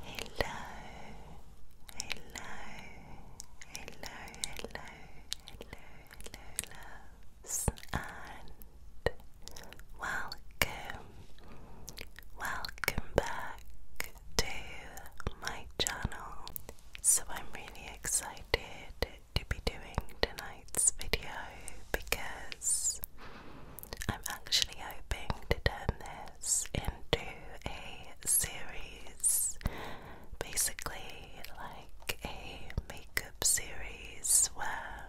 hello, hello, hello, hello, hello, loves, and welcome, welcome back to my channel. So, I'm really excited to be doing tonight's video because I'm actually hoping to turn this into a series, basically like a makeup series where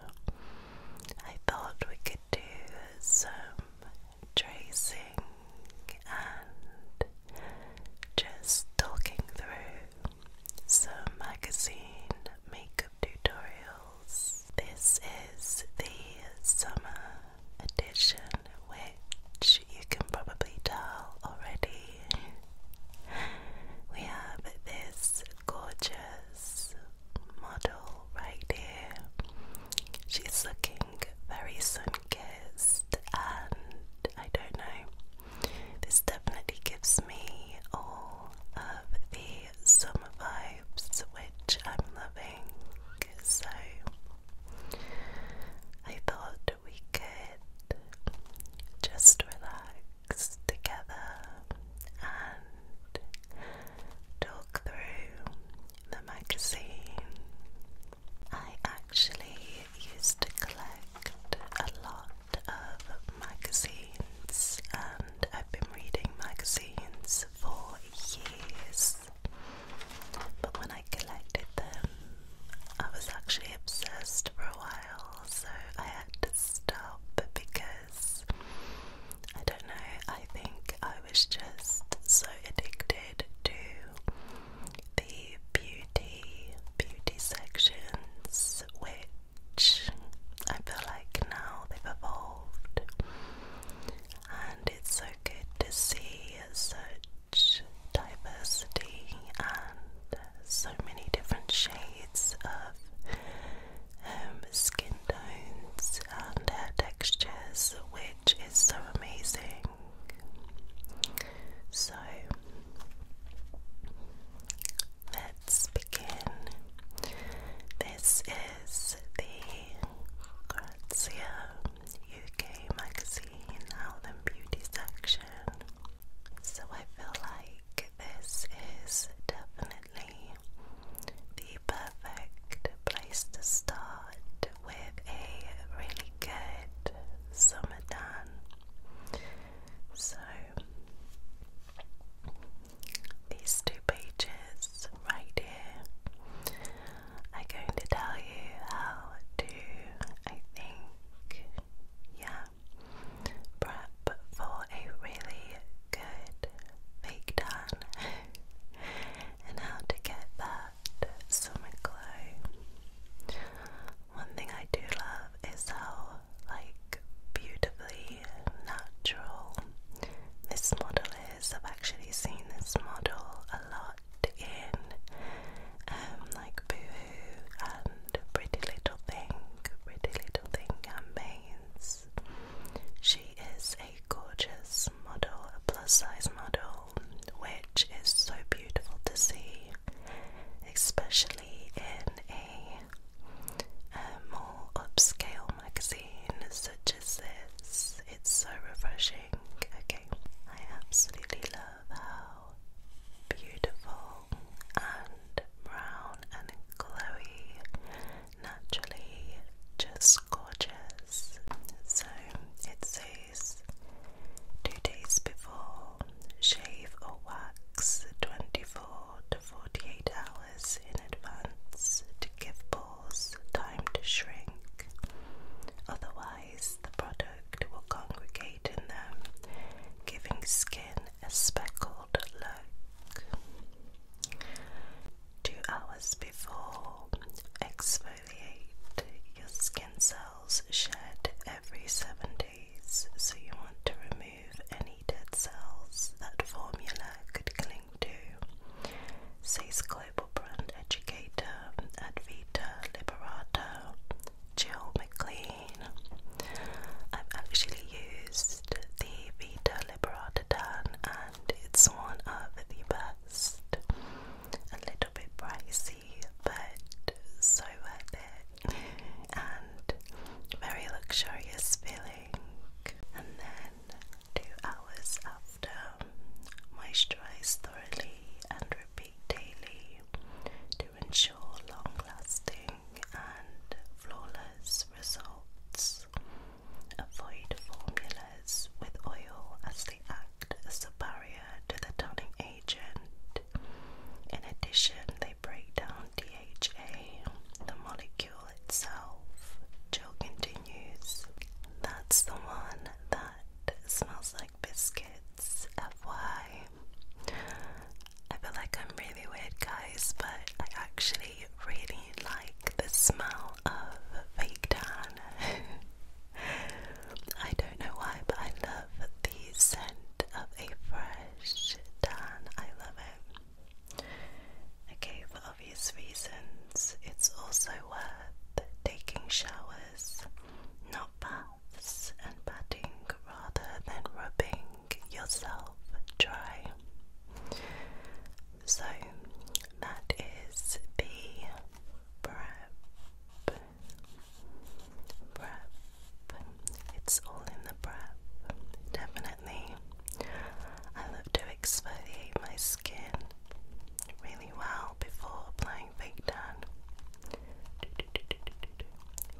I thought we could do some tracing and just talking through some magazine makeup tutorials. This is the summer edition, which you can probably tell already. We have this gorgeous model right here. She's looking very sun kissed, and I don't know, this definitely gives me all of the summer vibes, which I'm loving so I thought we could just relax together and talk through the magazine. I actually used to collect a lot of magazines and I've been reading magazines for years but when I collected them, I was actually obsessed for a while, so I had to stop because I don't know, I think I was just so addicted to the beauty, beauty sections, which I feel like now they've evolved and it's so good to see such diversity and so many different shades of um, skin tones and textures, which is so amazing. So let's begin. This is the that's yeah, UK magazine, Health and Beauty section. So I feel like this is definitely the perfect place to start with a really good summer tan. So these two pages right here I'm going to tell you how to, I think, yeah, prep for a really good fake tan and how to get that summer glow. One thing I do love is how, like, beautifully natural this model I've actually seen this model a lot in um, like Boohoo and Pretty Little Thing, Pretty Little Thing campaigns. She is a gorgeous model, a plus size model, which is so beautiful to see, especially in a more upscale magazine such as this. It's so refreshing. Okay, I absolutely love how beautiful and brown and glowy, naturally just gorgeous. So it says two days before, shave or wax 24 to 48 hours in advance to give time to shrink. Otherwise, the product will congregate in them, giving skin a speckled look. Two hours before, exfoliate. Your skin cells shed every seven days, so you want to remove any dead cells that formula could cling to, says Chloe global brand educator at Vita Liberata, Jill McLean. I've actually used the Vita Liberata tan and it's one of the best. A little bit pricey, but so worth it. And very luxurious feeling. And then two hours after. Moisturize thoroughly and repeat daily to ensure long lasting and flawless results. Avoid formulas with oil as they act as a barrier to the tanning agent. In addition, they break down DHA, the molecule itself, choking into that's the one that smells like biscuits, FY. I feel like I'm really weird, guys, but I actually really like the smell of fake tan. I don't know why, but I love the scent of a fresh tan. I love it. Okay, obvious reasons, it's also worth taking showers, not baths, and patting rather than rubbing yourself dry. So that is the prep. Prep. It's all in the prep, definitely. I love to exfoliate my skin really well before applying fake tan.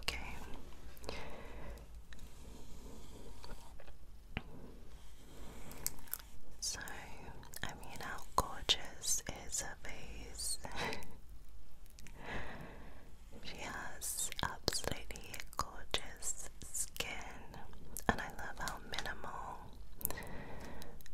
Okay. So, I mean, how gorgeous is her face? she has absolutely gorgeous skin, and I love how minimal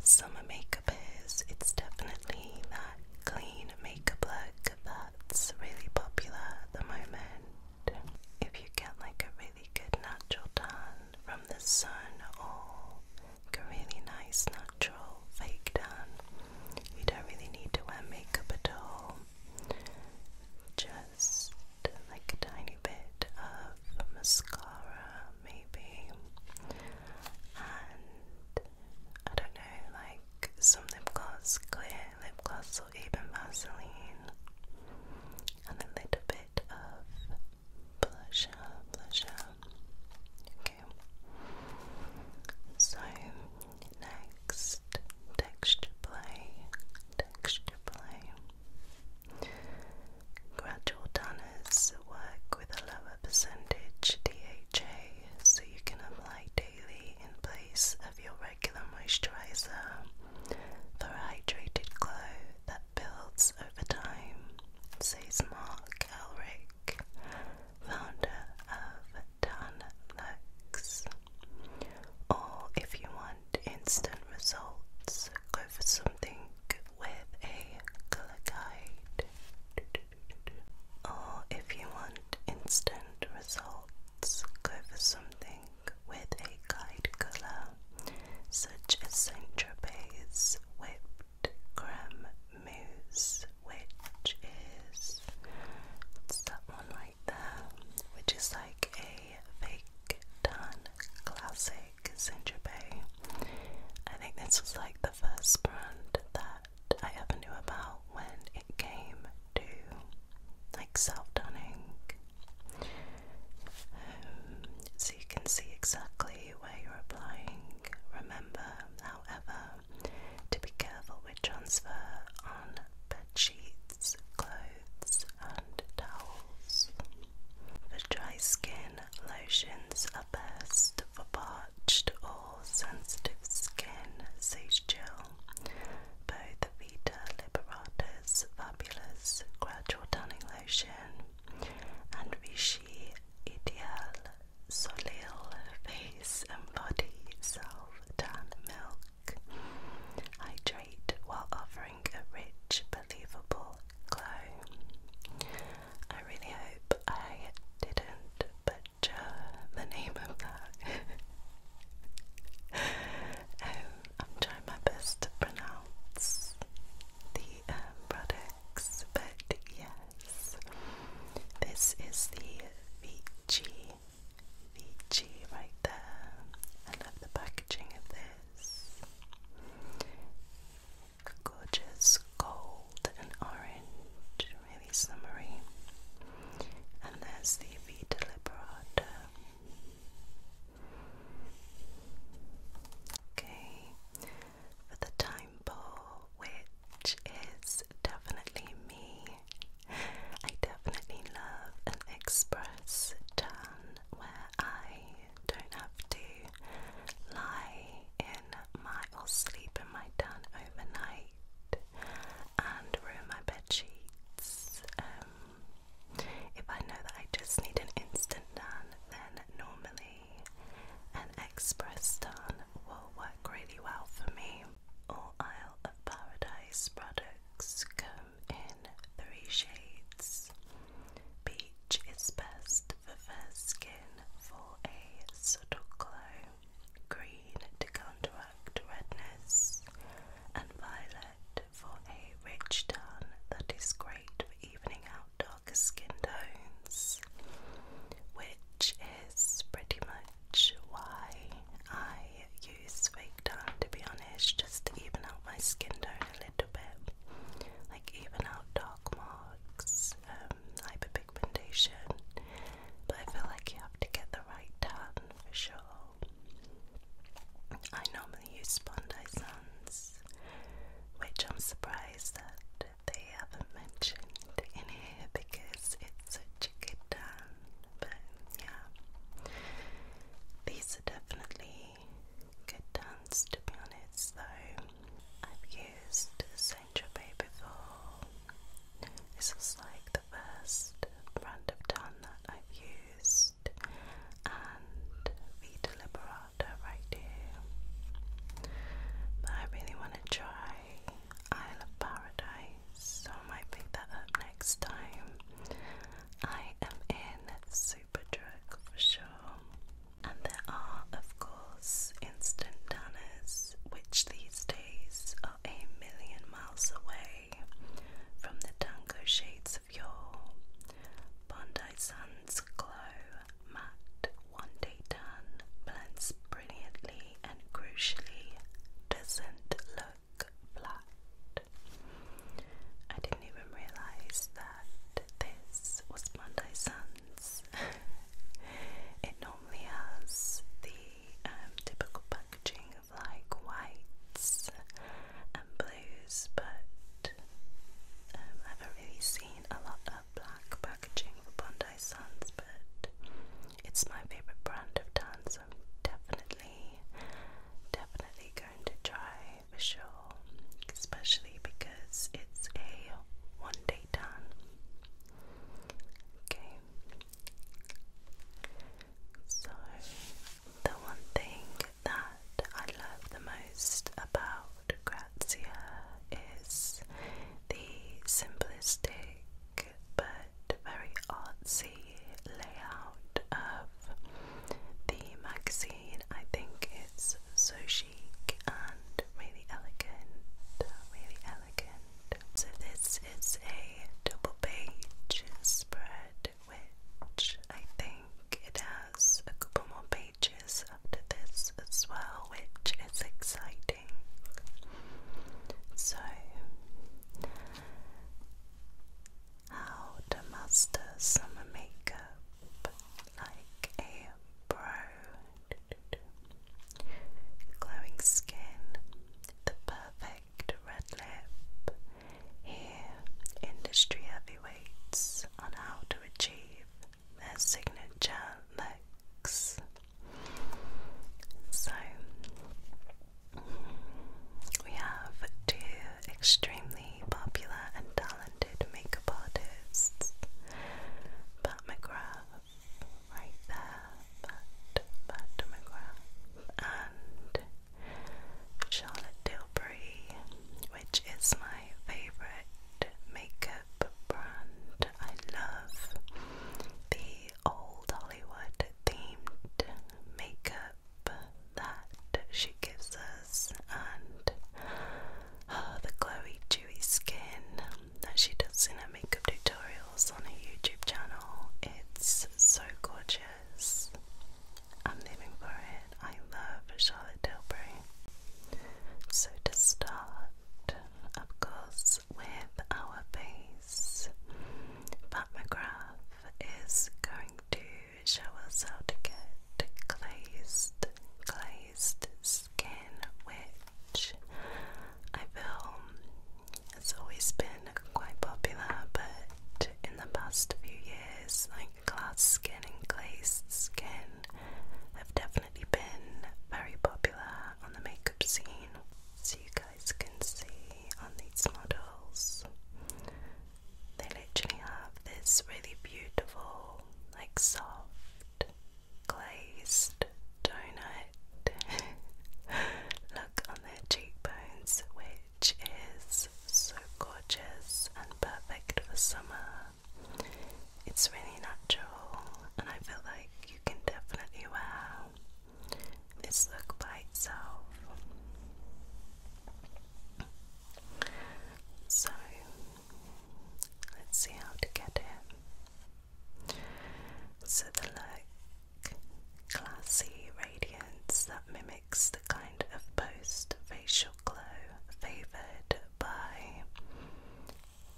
Summer makeup is, it's definitely that clean makeup look that's really popular at the moment. If you get like a really good natural tan from the sun or like a really nice natural fake tan, you don't really need to wear makeup at all. Just like a tiny bit of mascara maybe. And I don't know, like some lip gloss, clear lip gloss, or even Vaseline, and a little bit of blusher, blusher. Okay. So next, texture play, texture play. Gradual tanners work with a lower percentage DHA, so you can apply daily in place of your regular moisturizer for a hydrated glow that builds over time, says Mark Elric, founder of Tan Lux. Or if you want instant results, go for something with a color guide. Or if you want instant results, go for something with a guide colour, such as Saint Tropez Whipped Creme Mousse, which is it's that one right there, which is like a fake tan classic like Saint I think this was like the first brand that I ever knew about when it came to like self tanning. Um, so you can see exactly where you're applying. Remember, however, to be careful with transfer on bed sheets, clothes, and towels. For dry skin, Lotions are best for parched or sensitive skin. Sage gel. Both Vita Liberata's Fabulous Gradual Tanning Lotion and Vichy Ideal Solil Face and Body Self Tan Milk hydrate while offering a rich, believable glow. I really hope I didn't butcher the name of that. Oh, I'm trying my best to pronounce the um, products, but yes, this is the Vici. Vici right there. I love the packaging of this gorgeous gold and orange, really summery. And there's the Vita Liberata. Okay, for the time ball, which is definitely me. I definitely love an express tan where I don't have to lie in my or sleep in my den overnight and ruin my bed sheets. Um, if I know that I just need an instant done, then normally an express done will work really well for me. All Isle of Paradise products come in three shades. Peach is best the fair skin for a subtle glow, green to counteract redness, and violet for a rich tan that is great for evening out darker skin tones, which is pretty much why I use fake tan to be honest, just to even out my skin tone a little little bit, like even out dark marks, um, hyperpigmentation. But I feel like you have to get the right tan for sure. I normally use Bondi Sands, which I'm surprised that they haven't mentioned in here because it's such a good tan. But yeah, these are definitely good dance to be honest though. I've used Saint Tropez before. This was like the first brand of tan that I've used and Vita Liberata right here. But I really want to try Isle of Paradise, so I might pick that up next time. I am in Superdrug for sure. And there are, of course, instant tanners, which these days are a million miles away from the tango shades of yore. Bondi Sun's glow, matte, one day tan, blends brilliantly and crucially doesn't look flat. I didn't even realize that this was Monday Suns. it normally has the um, typical packaging of like whites and blues, but um, I have never really seen a lot of black packaging for Bondi Suns, but it's my favourite brand of tan, so I'm definitely, definitely going to try official, especially because it's a one day time. Okay. So, the one thing that I love the most about Grazia is the simplistic but very artsy layout of the magazine. I think it's is so chic and really elegant, really elegant. So this is a double page spread, which I think it has a couple more pages after this as well, which is exciting. So, how to master summer makeup like a pro. Glowing skin, the perfect red lip. Here, industry heavyweights on how to achieve their signature looks. So, we have two extremely popular and talented makeup artists. Pat McGrath, right there, Pat, Pat McGrath, and Charlotte Tilbury, which is my favourite makeup brand. I love the old Hollywood themed makeup that she gives us, and the glowy, dewy skin that she does in her makeup tutorials on her YouTube channel. It's so gorgeous. I'm living for it. I love Charlotte Tilbury. So, to start, of course, with our base, Pat McGrath is going to which allows us to get glazed, glazed skin, which I feel has always been quite popular, but in the past few years, like glass skin and glazed skin have definitely been very popular on the makeup scene. So you guys can see on these models, literally have this really beautiful, like soft, glazed donut look on their cheekbones, which is so gorgeous and perfect for summer. It's really natural, and I feel like you can definitely wear this look by itself. So let's see how to get it. So the look, classy radiance that mimics the kind of post facial glow favoured by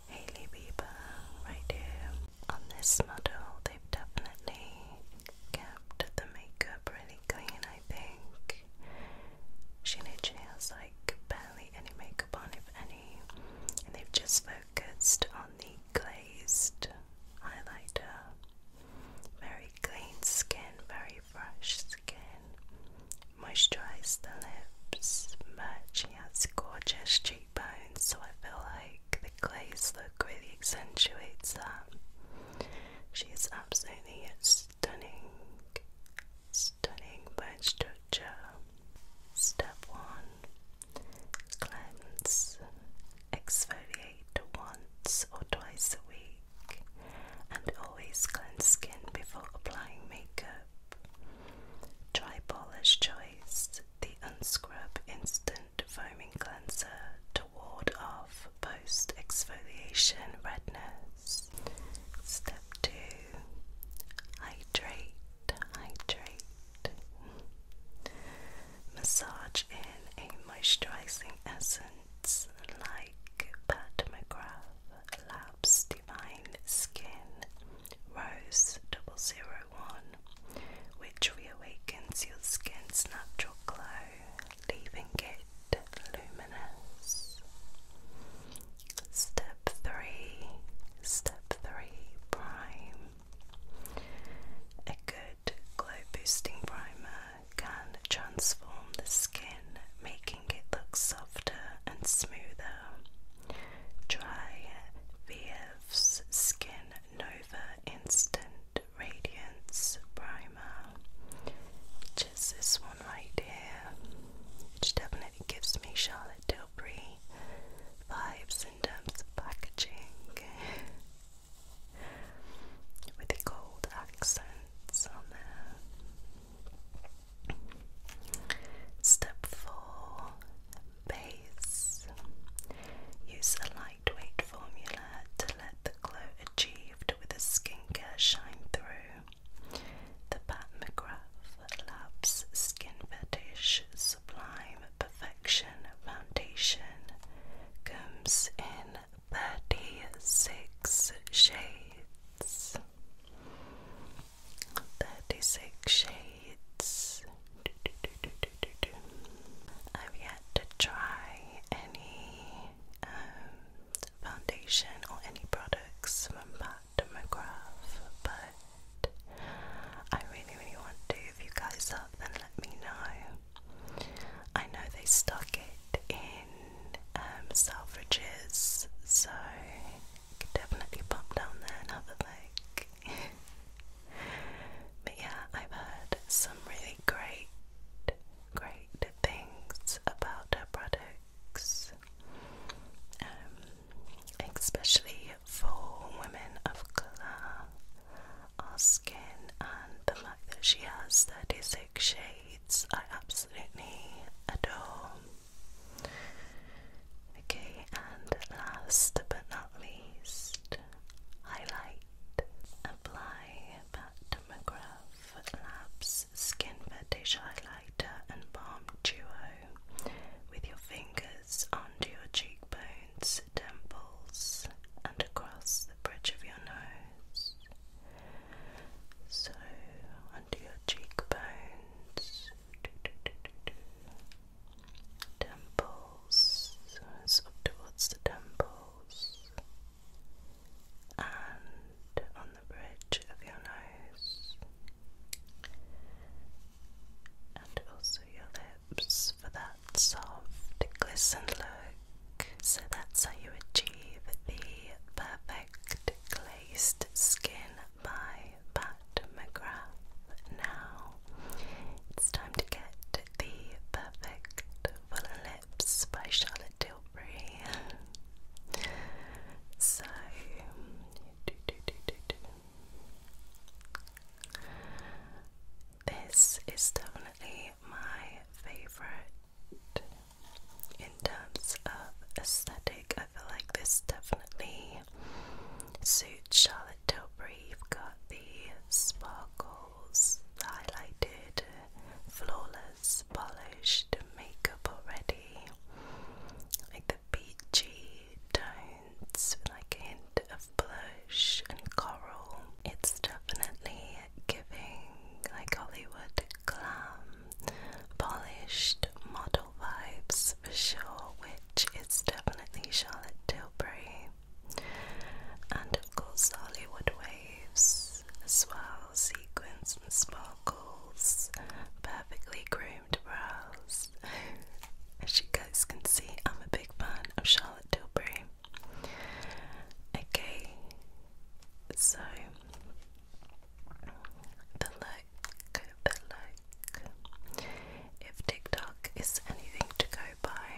Hailey Bieber right here. On this model they've definitely kept the makeup really clean I think. She literally has like barely any makeup on, if any, and they've just focused on the glazed highlighter. Very clean skin, very fresh skin. Moisturize the lips, but she has gorgeous cheekbones, so I feel like the glaze look really accentuates that. She's absolutely stunning stunning bone structure. Step 1 Cleanse, exfoliate once or twice a week, and always cleanse skin before applying makeup. Dry Polish Choice, the Unscrub Instant Foaming Cleanser to ward off post exfoliation redness. Step 2 hydrate, hydrate. Massage in a moisturizing essence like Pat McGrath Labs Divine Skin Rose Double Zero One, which reawakens your skin's natural glow, leaving it luminous. Step 3, step 3 prime. A good glow boosting primer can transform the skin, making it look softer and smoother. Try VF's Skin Nova Instant Radiance Primer, which this one right here, which definitely gives me Charlotte Tilbury vibes in terms of packaging, with a gold accent on there. Step four, base. Use a lightweight formula to let the glow achieved with a skincare shine through. The Pat McGrath Labs Skin Fetish Sublime Perfection Foundation comes in 36 shades. 36 shades. I've yet to try any um, foundation or any products from Pat demograph, but I really, really want to. If you guys up, then let me know. I know they stock it in um, Selfridges, so definitely pop down there and have a look. but yeah, I've heard some really great, great things about her product. Um, especially for women of colour. Our skin and the fact that she has 36 shades, I absolutely adore. Okay, and last but not least, highlight. Apply Pat McGrath Labs Skin Fetish Highlighter and Balm Duo with your fingers under your cheekbones, temples, and across the bridge of your nose. So, under your cheekbones, temples, so it's up towards the temples, and on the bridge of your nose and also your lips for that soft glisten look. So that's how you achieve the perfect glazed skin by Pat McGrath. Now it's time to get the perfect full lips by Charlotte so, this is definitely my favorite in terms of aesthetic. I feel like this definitely suits Charlotte Tilbury. You've got the sparkles highlighted, flawless polished makeup already, like the peachy tones with like a hint of blush and coral. It's definitely giving like Hollywood glam, polished model vibes for sure, which is definitely Charlotte Tilbury. And of course, Hollywood waves as well, sequins and sparkle sparkles, perfectly groomed brows. As you guys can see, I'm a big fan of Charlotte Tilbury. Okay, so the look, the look. If TikTok is anything to go by,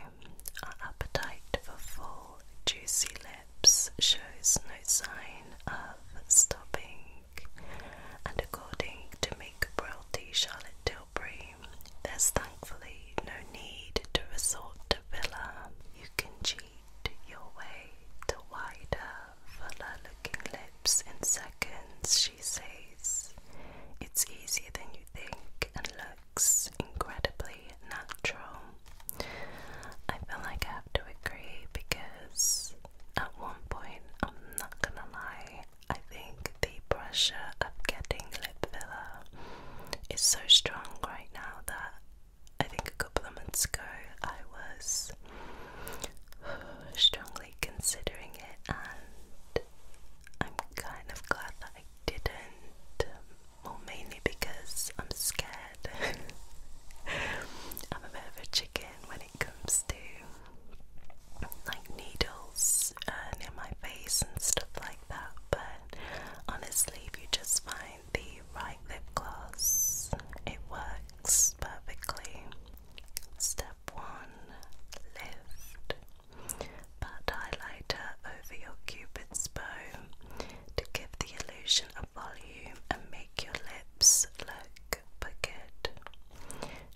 our appetite for full, juicy lips shows no sign of stopping and according to Microbralty Charlotte Tilbury, there's thankfully no need to resort to filler. You can cheat your way to wider, fuller looking lips in seconds, she says. It's easier than you think and looks incredibly natural. I feel like I have to agree because at one point, I'm not gonna lie, I think the pressure of getting lip filler is so strong right now that I think a couple of months ago I was strongly considering it, and I'm kind of glad that I didn't. Well, mainly because I'm scared I'm a bit of a chicken when it comes to like needles uh, near my face and stuff like that, but honestly, if you just find the right lip gloss, it works perfectly. Step one lift butt highlighter over your cupid's bow to give the illusion of volume and make your lips look Bucket.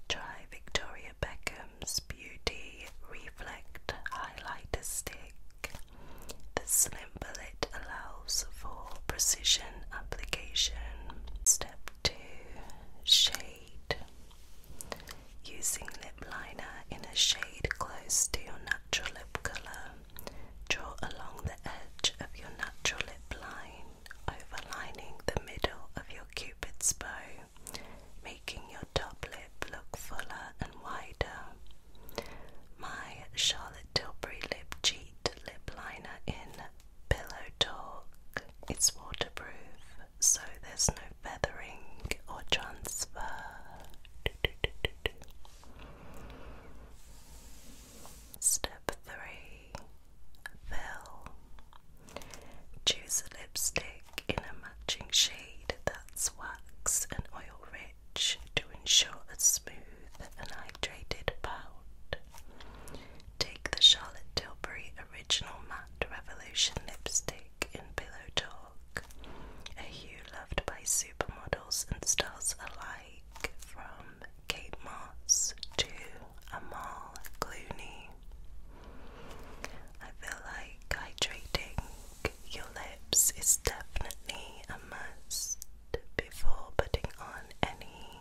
Try Victoria Beckham's Beauty Reflect Highlighter Stick. The slim bullet allows for precision application. Step 2 Shade. Using lip liner in a shade close to your natural lip color, draw along the edge of your natural lip line overlining the middle of your cupid's bow, making your top lip look fuller and wider. My Charlotte Tilbury Lip Cheat Lip Liner in Pillow Talk. It's waterproof, so there's no feathering or transfer. Step 3 Fill. Choose a lipstick in a matching shade that's wax and oil rich to ensure a smooth and hydrated pout. Take the Charlotte Tilbury Original Matte Revolution lipstick in Pillow Talk, a hue loved by supermodels and stars alike from Kate Moss to Amal Clooney. I feel like hydrating your lips is definitely a must before putting on any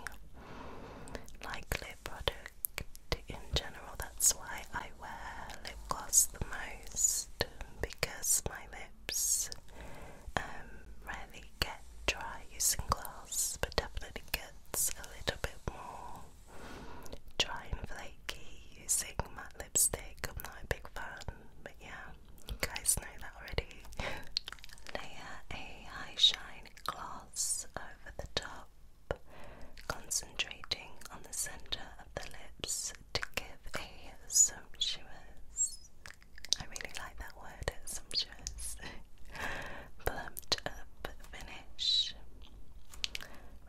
lip product in general. That's why I wear lip gloss the most because my lips rarely um, get dry using glass, but definitely gets a little bit more dry and flaky using matte lipstick. I'm not a big fan, but yeah, you guys know that already. Layer a high shine gloss over the top. Concentrating on the center of the lips to give a sumptuous I really like that word, it's just Plumped up finish.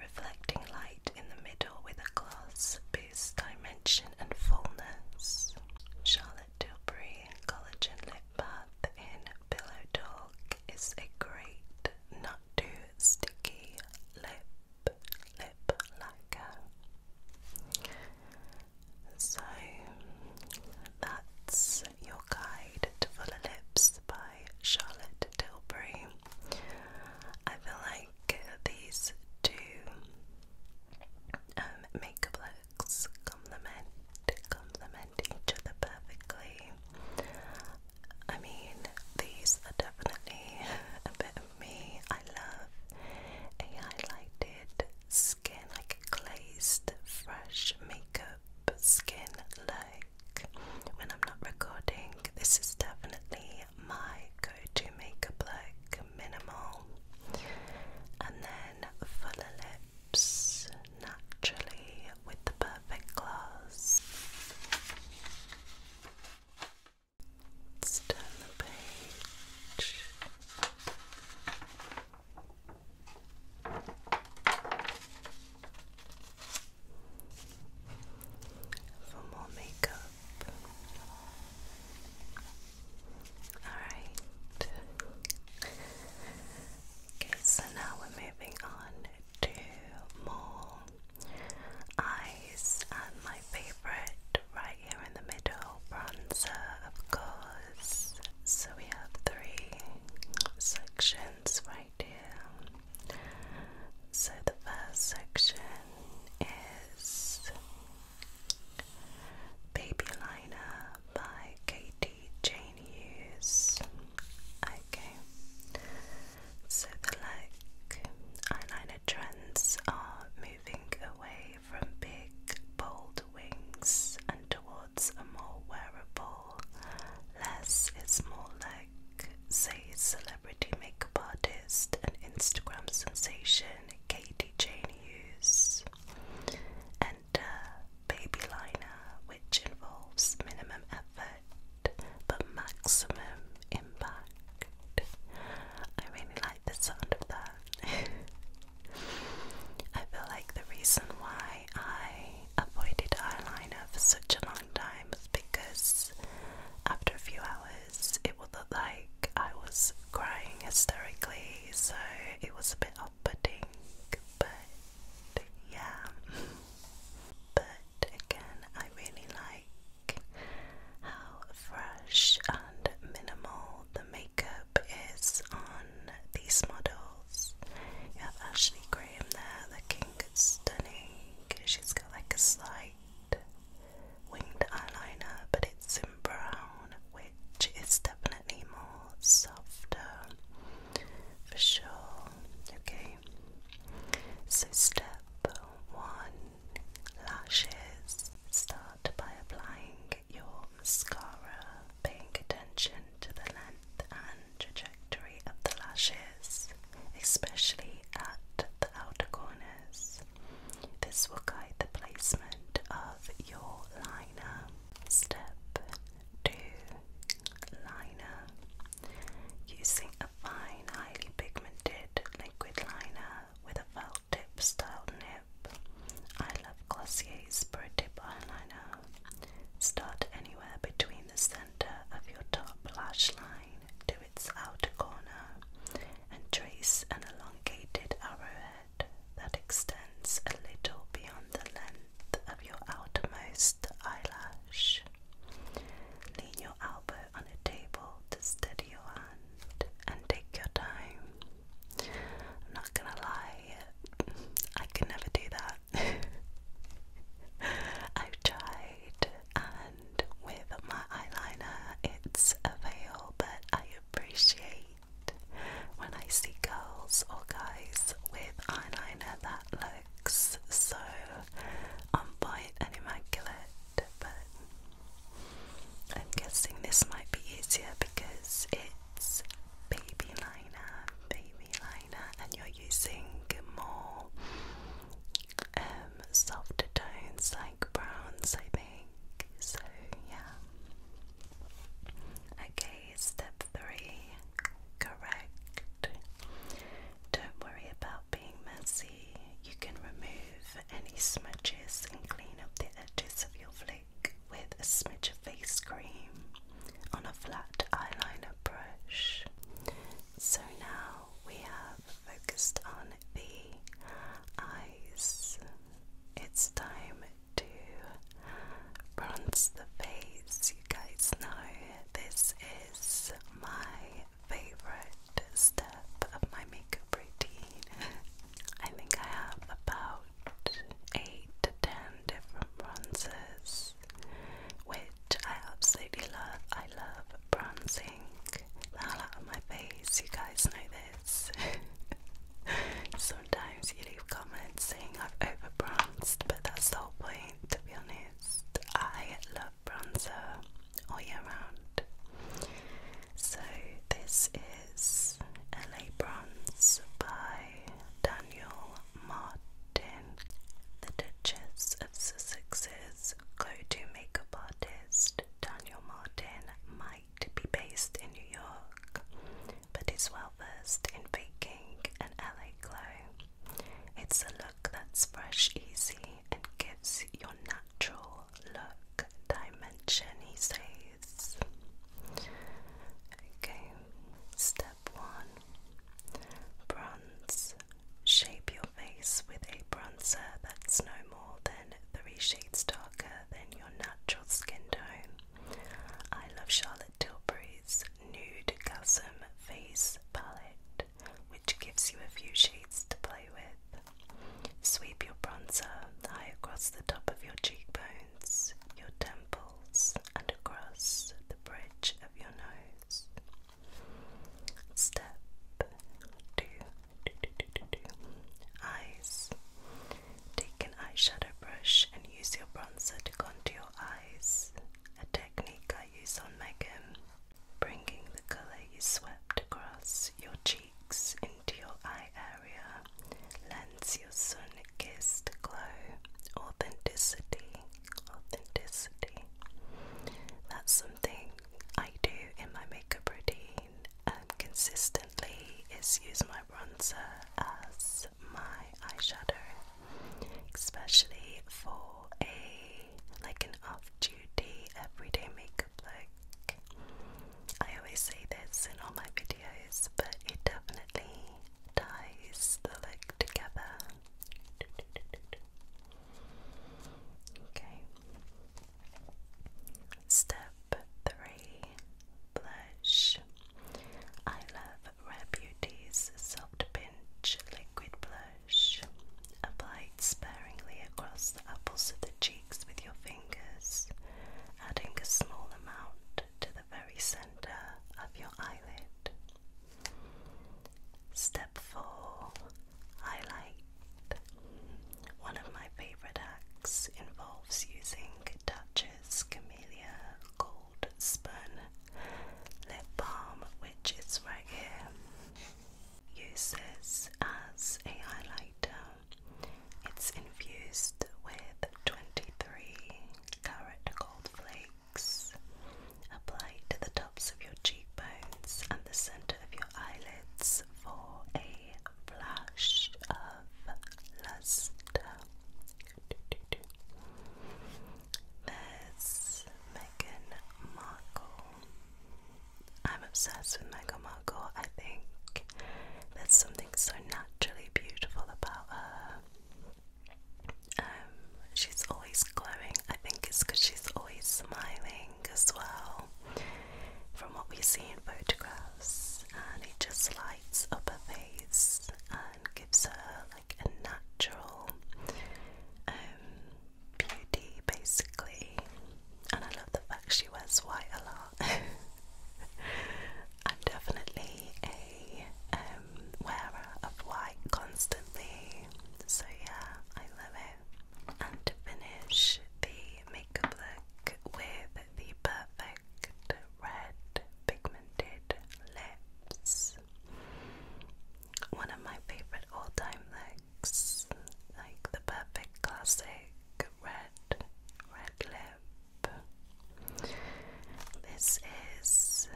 Reflecting light in the middle with a gloss boosts dimension and fullness. Charlotte Tilbury Collagen Lip Bath in Pillow Talk is a great, not too sticky lip lip lacquer. So that's your guide to fuller lips by Charlotte Tilbury. I feel like these two um, makeup looks complement complement each other perfectly. I mean, these are definitely a bit of me. I love a highlighted skin, like glazed, fresh makeup skin look. When I'm not recording, this is definitely my go to makeup look, minimal. And then fuller lips naturally with the perfect gloss. turn the page for more makeup. Alright. Okay, so now we're moving on to more eyes and my favorite right here in the middle bronzer, of course. So we have three sections right here. So the first section is Baby Liner by Katie Jane Hughes. Okay. So the like eyeliner trends are moving away from big bold wings and towards a more wearable, less is more like, says celebrity makeup artist and Instagram sensation Katy Jane Hughes. Enter baby liner, which involves minimum effort but maximum impact. I really like the sound of that. I feel like the reason why I avoided eyeliner for such a long time was because after a few hours it would look like I was crying hysterically, so it was a bit off putting. But yeah. But again, I really like how fresh and minimal the makeup is on these models. You have Ashley Graham there looking stunning. She's got like a slight winged eyeliner, but it's in brown, which is definitely more softer for sure. Okay, so step one lashes. Start by applying your mascara, paying attention to the length and trajectory of the lashes, especially at the outer corners. This will guide the placement of your liner. Step 2 Liner Using a fine, highly pigmented liquid liner with a felt tip style nib. I love Glossier's Pro Eyeliner. Start anywhere between the center of your top lash line to its outer corner and trace an elongated arrowhead that extends a little beyond the length of your outermost eyelash. Lean your elbow on a table to steady your hand and take your time I'm not gonna lie, I can never do that. I've tried, and with my eyeliner, it's a veil, but I appreciate when I see girls or guys with eyeliner that looks so on point and immaculate. But I'm guessing this might be easier because it baby liner, baby liner, and you're using more um, soft tones like browns, I think. So, yeah. Okay, step three, correct. Don't worry about being messy. You can remove any smudges and clean up the edges of your flavor with a smidge of face cream on a flat eyeliner brush. So now we have focused on the eyes. It's time to bronze the face. You guys know this is my favorite step of my makeup routine. I think I have about 8 to 10 different bronzers, which I absolutely love. I love bronzing the hell out of my face, you guys know this. Sometimes you leave comments saying I've overbronzed, but that's the whole point, to be honest. I love bronzer all year round. So, this is LA Bronze by Daniel Martin. The Duchess of Sussex's go-to makeup artist, Daniel Martin, might be based in New York, but is well versed in baking an LA glow. It's a look that's fresh, easy, and gives your natural look dimension, he says. Okay, step one bronze. Shape your face with a bronzer that's no more than three shades darker than your natural skin tone. I love Charlotte Tilbury's Nude Gasm Face Palette, which gives you a few shades to play with. Sweep your bronzer high across the top of your cheekbones, your temple and across the bridge of your nose. Step two, eyes. Take an eyeshadow brush and use your bronzer to contour your eyes, a technique I use on Megan, bringing the colour you swept across your cheeks into your eye area lends your sun glow. Authenticity, authenticity. That's something I do in my makeup routine um, consistently. Is use my bronzer as my eyeshadow, especially for a like an off-duty everyday makeup look. I always say this in all my videos, but it definitely ties the leg together. Okay. Step three, blush. I love Rare soft pinch liquid blush. Applied sparingly across the apples of the cheeks with your fingers, adding a small amount to the very center of your eyelid. Step 4 Highlight. One of my favorite acts involves using Dutch's Camellia Gold Spun Lip Balm, which is right here. Uses as a highlighter. It's infused with 23 carrot gold flakes applied to the tops of your cheekbones and the center of your eyelids for a flash of luster. There's Meghan Markle. I'm obsessed with Meghan Markle. I think that's something so naturally beautiful about her. Um, she's always glowing. I think it's because she's always smiling as well, from what we see in photographs, and it just lights up her face and gives her like a natural um, beauty, basically. And I love the fact she wears white a lot. i definitely a um, wearer of white constantly, so yeah, I love it. And to finish the makeup look with the perfect red pigmented lips, one of my favourite all time looks, like the perfect classic red, this is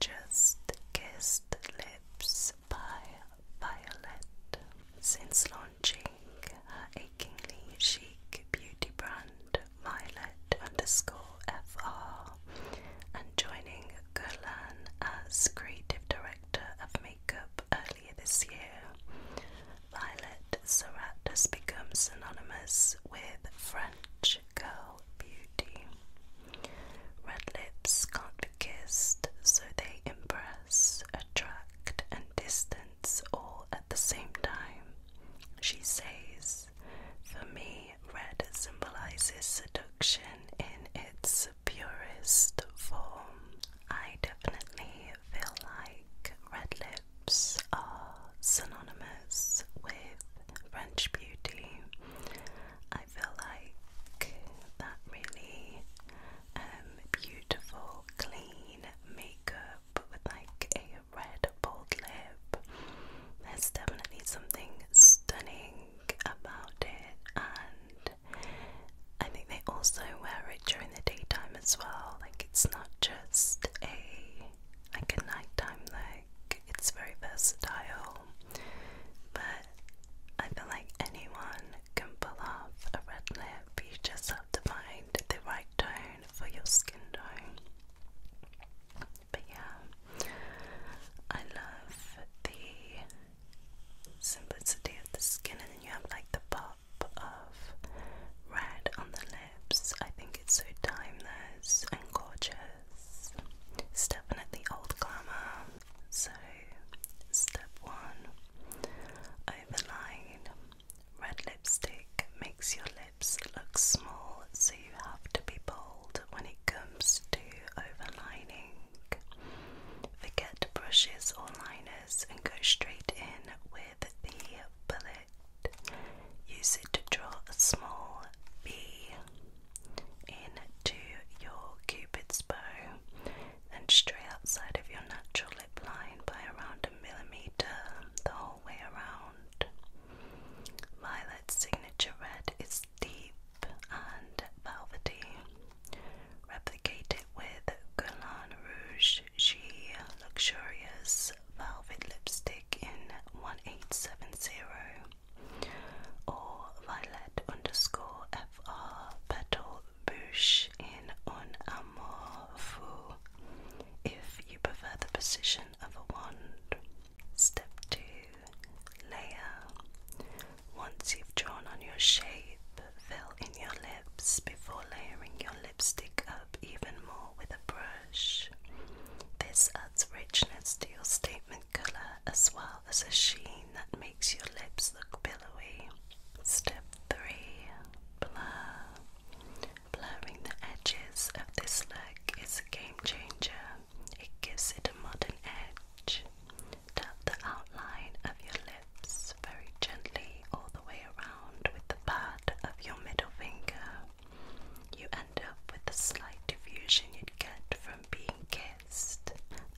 Just Kissed Lips by Violet. Since launching her achingly chic beauty brand Violet underscore FR and joining Gulan as creative director of makeup earlier this year, Violet Surratt has become synonymous with French girl beauty. Red lips can't be kissed, so they impress, attract, and distance all at the same time. She says, For me, red symbolizes seduction in its purest form. I definitely feel like red lips are synonymous with French beauty. I feel like that really um, beautiful, clean makeup with like a red bold lip. There's definitely something stunning about it, and I think they also wear it during the daytime as well. Like it's not just a like a nighttime look. It's very versatile, but I feel like anyone can pull off a red lip. You just have to find the right tone for your skin tone. But yeah, I love the simplicity of the skin, and then you have like the pop of red on the lip. I think it's so timeless and gorgeous. definitely old glamour. So, step one overline. Red lipstick makes your lips look small, so you have to be bold when it comes to overlining. Forget brushes or liners and go straight in with the bullet Use it to draw a small bee into your cupid's bow, then stray outside of your natural lip line by around a millimeter the whole way around. Violet's signature red is deep and velvety. Replicate it with Guerlain Rouge G Luxurious Velvet Lipstick in 1870 or Violet underscore FR Petal Bouche in Un Amour Fou if you prefer the position of a wand. Step 2 Layer. Once you've drawn on your shape, fill in your lips before layering your lipstick up even more with a brush. This richness to your statement colour as well as a sheen that makes your lips look billowy. Step 3 Blur. Blurring the edges of this look is a game changer, it gives it a modern edge. Tap the outline of your lips very gently all the way around with the pad of your middle finger you end up with the slight diffusion you'd get from being kissed.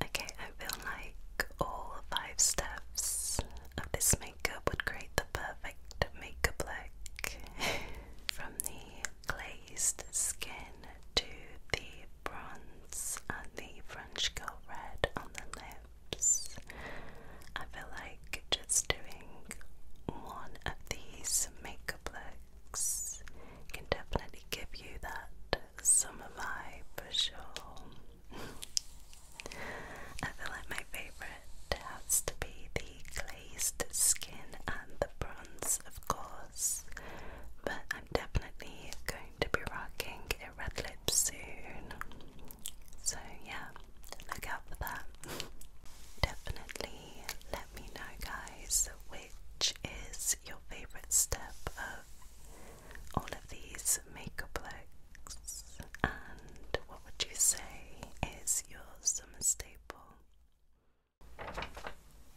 Okay, I feel like all five steps of this makeup would create the perfect makeup look. from the glazed skin to the bronze and the French girl red on the lips. I feel like just doing one of these makeup can definitely give you that summer vibe for sure. I feel like my favourite has to be the glazed skin and the bronze, of course, but I'm definitely going to be rocking a red lip soon. So, yeah, look out for that. Definitely let me know, guys, which is your favorite step of all of these makeup looks, and what would you say is your summer staple?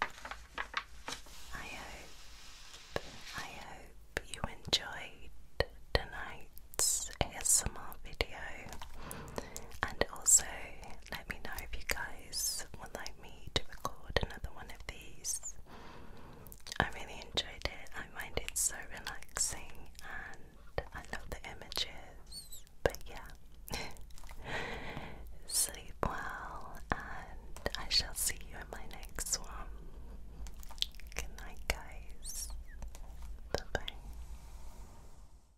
I hope, I hope you enjoyed tonight's ASMR video. And also, let me know if you guys would like me to record another one of these. I really enjoyed it, I find it so relaxing and I love the images. But yeah, sleep well, and I shall see you in my next one. Good night, guys. Bye bye.